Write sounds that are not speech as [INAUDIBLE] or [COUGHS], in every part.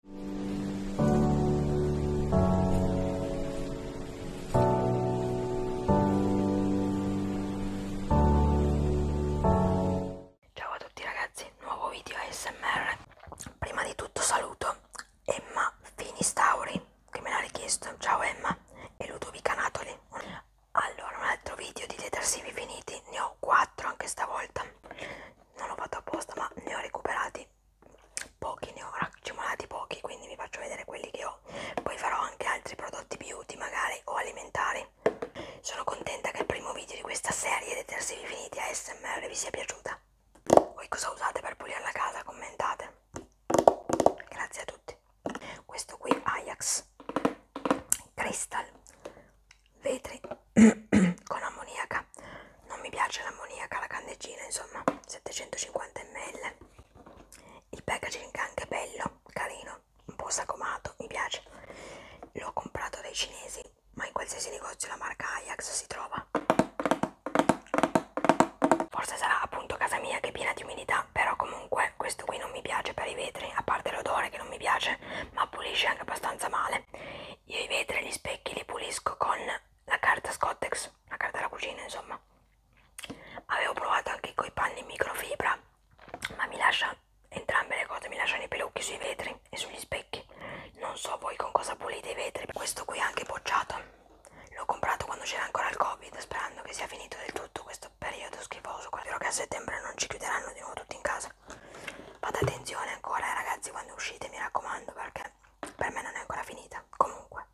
Ciao a tutti ragazzi, nuovo video ASMR. Prima di tutto saluto Emma Finistauri che me l'ha richiesto. Ciao Emma e Ludovica Natoli. Allora, un altro video di detersivi finiti, ne ho 4 anche stavolta non l'ho fatto apposta ma ne ho recuperati pochi, ne ho raccimolati pochi quindi vi faccio vedere quelli che ho poi farò anche altri prodotti beauty magari o alimentari sono contenta che il primo video di questa serie dei tersivi finiti ASMR vi sia piaciuta voi cosa usate per pulire la casa? commentate grazie a tutti questo qui Ajax Crystal vetri [COUGHS] con ammoniaca non mi piace l'ammoniaca la candeggina insomma 750 ml il packaging anche bello carino un po' sacomato mi piace l'ho comprato dai cinesi ma in qualsiasi negozio la marca Ajax si trova forse sarà appunto casa mia che è piena di umidità però comunque questo qui non mi piace per i vetri a parte l'odore che non mi piace ma pulisce anche abbastanza male io i vetri e gli specchi li pulisco con la carta Scottex, la carta della cucina, insomma. Avevo provato anche con i panni microfibra, ma mi lascia entrambe le cose, mi lasciano i pelucchi sui vetri e sugli specchi. Non so voi con cosa pulite i vetri. Questo qui è anche bocciato. L'ho comprato quando c'era ancora il Covid, sperando che sia finito del tutto questo periodo schifoso. Spero che a settembre non ci chiuderanno di nuovo tutti in casa. Fate attenzione ancora ragazzi quando uscite, mi raccomando, perché per me non è ancora finita. Comunque.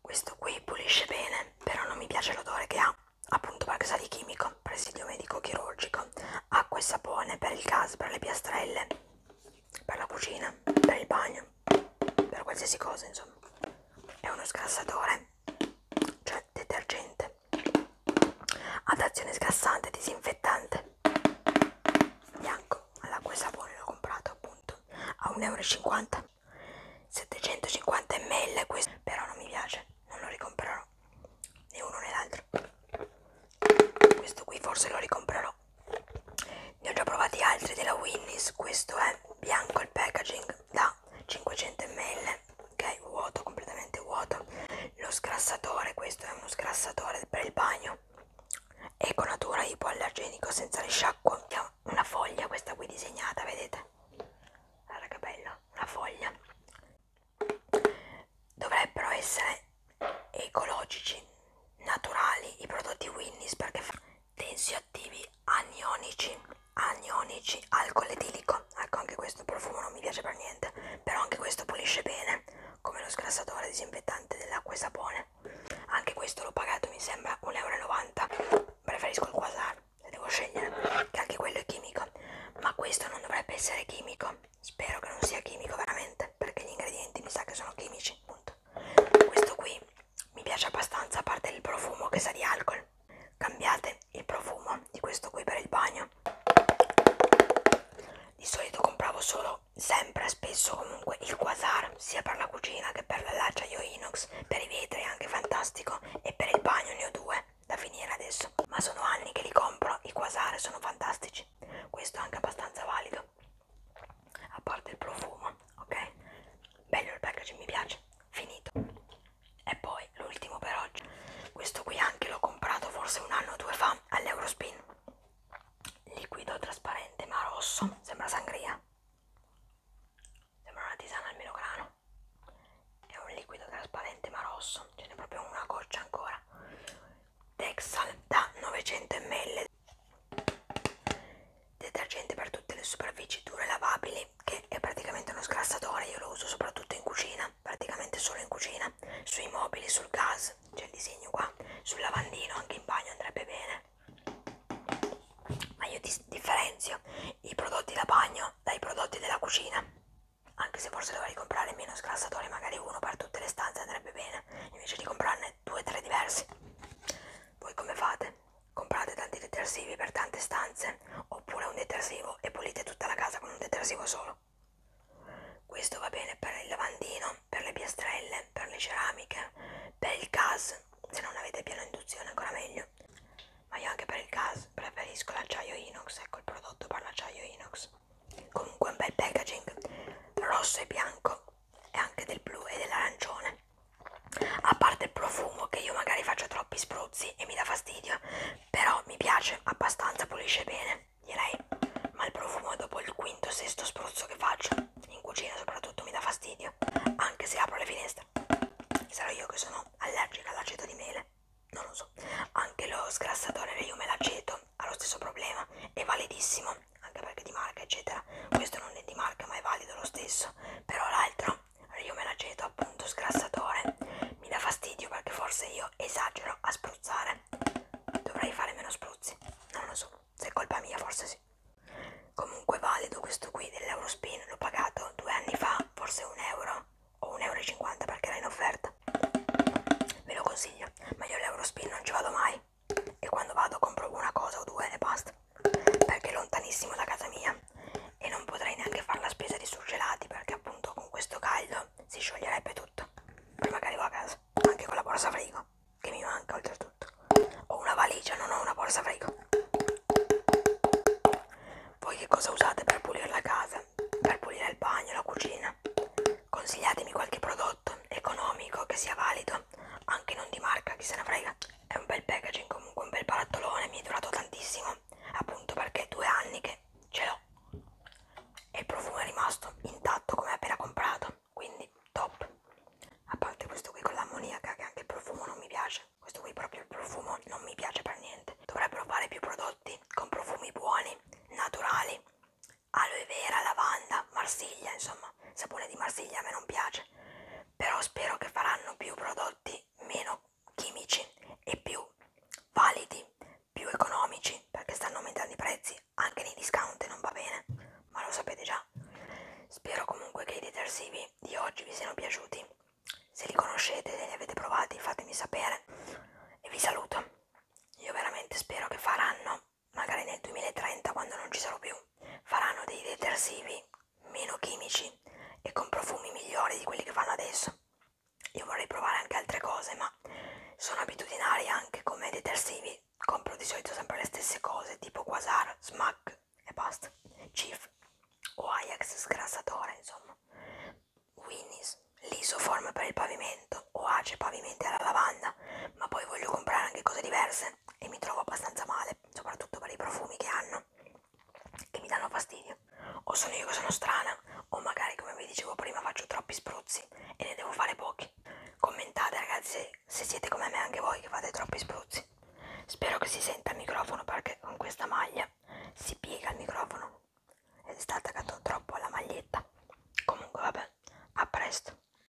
Questo qui pulisce bene, però non mi piace l'odore che ha, appunto perché sa di chimico, presidio medico chirurgico, acqua e sapone per il gas, per le piastrelle, per la cucina, per il bagno, per qualsiasi cosa, insomma. È uno sgrassatore cioè detergente ad azione sgrassante disinfettante bianco all'acqua e sapone l'ho comprato appunto a 1,50 euro 750 ml questo però non mi piace non lo ricomprerò né uno né l'altro questo qui forse lo ricomprerò ne ho già provati altri della Winnis questo è bianco il packaging da da 500 ml ok vuoto completamente vuoto lo sgrassatore questo è uno sgrassatore per il bagno eco natura ipoallergenico senza risciacquo una foglia questa qui disegnata vedete guarda che bella una foglia dovrebbero essere ecologici naturali i prodotti Winnis perché tensioattivi anionici, anionici, alcol etilico. Ecco, anche questo profumo non mi piace per niente, però anche questo pulisce bene, come lo sgrassatore disinfettante dell'acqua e sapone. Anche questo l'ho pagato, mi sembra 1,90 euro. Preferisco il quasar, se devo scegliere, che anche quello è chimico. Ma questo non dovrebbe essere chimico. Spero che non sia chimico veramente, perché gli ingredienti mi sa che sono chimici, punto. Questo qui mi piace abbastanza a parte il profumo che sa di alcol cambiate il profumo di questo qui per il bagno di solito compravo solo sempre spesso comunque il quasar sia per la cucina che per la l'acciaio inox per i vetri è anche fantastico e per il bagno ne ho due da finire adesso ma sono anni che li compro i quasar sono fantastici questo è anche abbastanza valido a parte il profumo ok bello il packaging mi piace finito e poi l'ultimo per oggi questo qui anche l'ho comprato forse un anno o due fa all'Eurospin liquido trasparente ma rosso sembra sangria sembra una tisana al melograno è un liquido trasparente ma rosso ce n'è proprio una goccia ancora Texal da 900 ml detergente per tutte le superfici dure lavabili che è praticamente uno sgrassatore io lo uso soprattutto in cucina praticamente solo in cucina sui mobili sul gas c'è il disegno qua sul lavandino anche in bagno andrebbe bene ma io dis differenzio i prodotti da bagno dai prodotti della cucina anche se forse dovrei comprare meno sgrassatori magari uno per tutte le stanze andrebbe bene invece di comprarne due o tre diversi voi come fate Comprate tanti detersivi per tante stanze oppure un detersivo e pulite tutta la casa con un detersivo solo. Questo va bene per il lavandino, per le piastrelle, per le ceramiche, per il gas, se non avete piano induzione ancora meglio. Ma io anche per il gas preferisco l'acciaio inox, ecco il prodotto per l'acciaio inox. Comunque un bel packaging rosso e bianco e anche del blu e dell'arancione a parte il profumo che io magari faccio troppi spruzzi e mi dà fastidio però mi piace abbastanza pulisce bene direi ma il profumo dopo il quinto sesto spruzzo che faccio in cucina soprattutto mi dà fastidio anche se apro le finestre sarò io che sono allergica all'aceto di mele non lo so anche lo sgrassatore di liume e l'aceto ha lo stesso problema è validissimo anche perché di marca eccetera questo non è di marca ma è valido lo stesso però l'altro io me l'aceto appunto sgrassatore mi dà fastidio perché forse io esagero a spruzzare dovrei fare meno spruzzi non lo so se è colpa mia forse sì comunque valido questo qui dell'Eurospin l'ho pagato due anni fa forse un euro o 1,50 euro perché era in offerta ve lo consiglio ma io l'Eurospin non ci vado mai e quando vado compro una cosa o due e basta perché è lontanissimo da casa mia e non potrei neanche fare la spesa di surgelati perché appunto con questo caldo si scioglierebbe tutto prima che arrivo a casa anche con la borsa frigo che mi manca oltretutto ho una valigia non ho una borsa frigo voi che cosa usate per pulire la casa per pulire il bagno la cucina consigliatemi qualche prodotto economico che sia valido anche non di marca chi se ne frega è un bel packaging comunque un bel barattolone mi è durato tantissimo appunto perché è due anni che ce l'ho e il profumo è rimasto intatto come appena comprato quindi top a parte questo qui con l'ammoniaca che anche il profumo non mi piace questo qui proprio il profumo non mi piace per niente dovrebbero fare più prodotti con profumi buoni naturali aloe vera lavanda marsiglia insomma sapone di marsiglia a me non piace piace però spero che faranno più prodotti meno chimici e più validi più economici perché stanno aumentando i prezzi anche nei discount non va bene ma lo sapete già spero comunque che i detersivi di oggi vi siano piaciuti se li conoscete e li avete provati fatemi sapere e vi saluto io veramente spero che faranno magari nel 2030 quando non ci sarò più, faranno dei detersivi meno chimici e con profumi migliori di quelli che fanno adesso. Io vorrei provare anche altre cose, ma sono abitudinaria anche come detersivi. Compro di solito sempre le stesse cose, tipo Quasar, Smack e basta, Chief o Ajax sgrassatore, insomma. Winnie's, l'isoform per il pavimento o Ace pavimenti alla lavanda, ma poi voglio comprare anche cose diverse e mi trovo abbastanza male, soprattutto per i profumi che hanno, che mi danno fastidio. O sono io che sono strana, o magari come vi dicevo prima faccio troppi spruzzi e ne devo fare pochi. Commentate ragazzi se siete come me anche voi che fate troppi spruzzi. Spero che si senta il microfono perché con questa maglia si piega il microfono ed è sta attaccato troppo alla maglietta. Comunque vabbè, a presto.